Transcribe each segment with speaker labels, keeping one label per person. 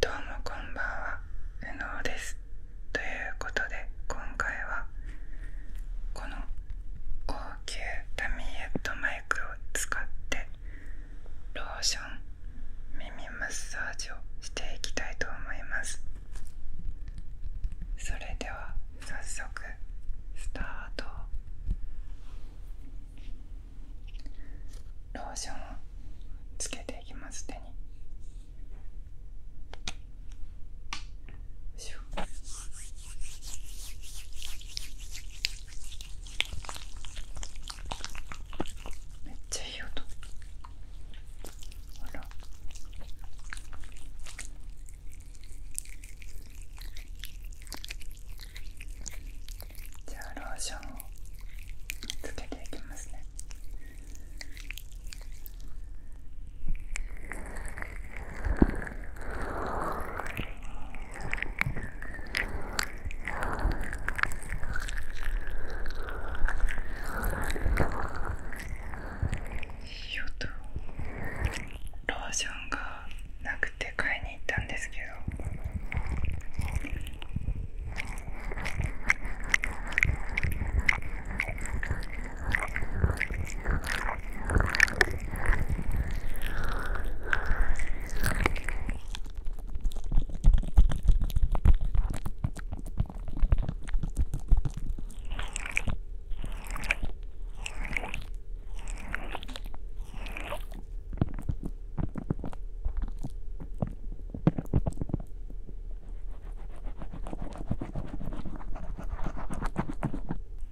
Speaker 1: どうもこんばんは、うのうです。ということで今回はこの高級タミーヘッドマイクを使ってローション耳マッサージをしていきたいと思います。それでは早速スタート。ローションをつけていきます手にめっちゃいい音ほらじゃあローションをつけていきますねよとローションがなくて買いに行ったんですけど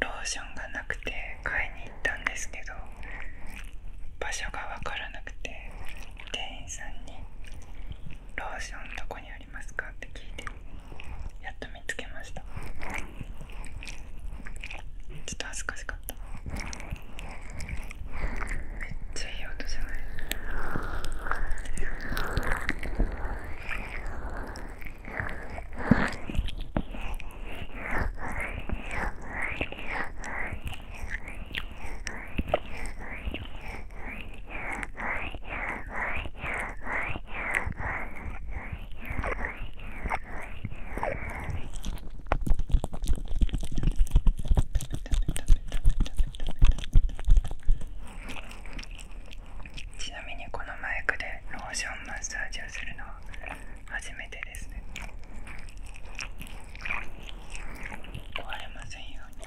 Speaker 1: ローションがなくて買いに行ったんですけど場所が分からなくて店員さんに「ローションどこにありますか?」って聞いてやっと見つけましたちょっと恥ずかしかっためっちゃいい音じゃないちなみにこのマイクでローションマッサージをするのは初めてですね壊れませんように。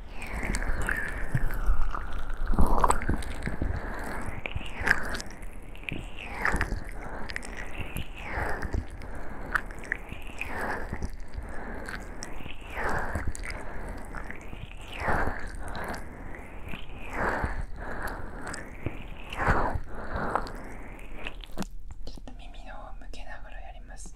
Speaker 1: ちょっと耳の方を向けながらやります。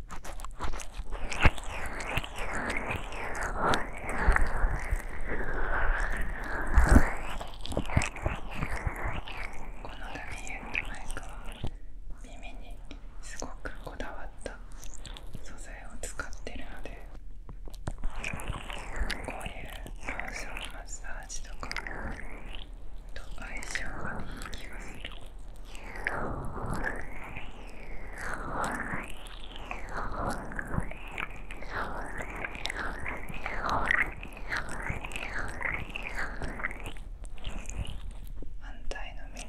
Speaker 1: このマイクは耳にすごくこだわった素材を使ってるのでこういうローションマッサージとかと相性がいい気がする。反対の耳。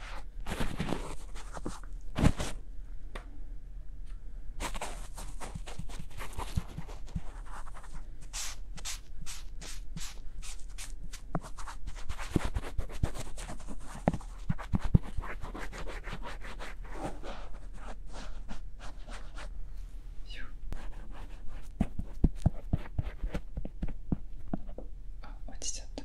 Speaker 1: あ落ちちゃった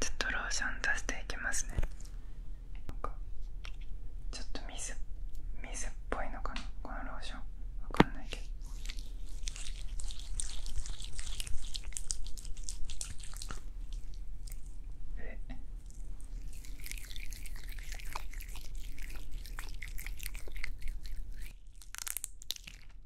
Speaker 1: ちょっとローション出していきますねなんかちょっと水水っぽいのかなこのローションわかんないけどええ。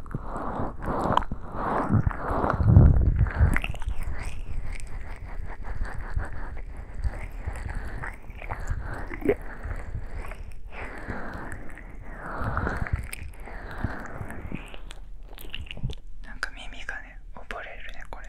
Speaker 1: なんか耳がね溺れるねこれ。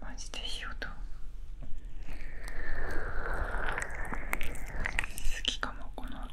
Speaker 1: マジでいい音好きかもこの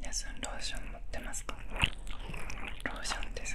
Speaker 1: 皆さんローション持ってますかローションです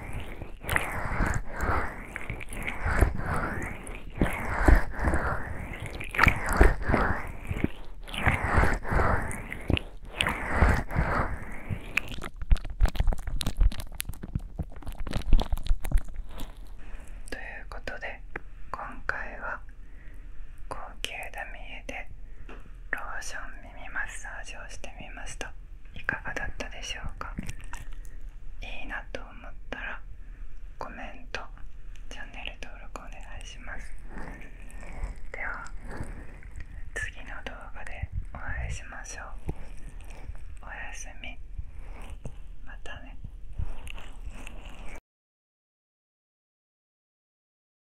Speaker 1: ということで今回は高級ダミエでローションミ耳マッサージをしてみましたいかがだったでしょうかいいなと思ったらコメントチャンネル登録お願いしますでは次の動画でお会いしましょうおやすみまたね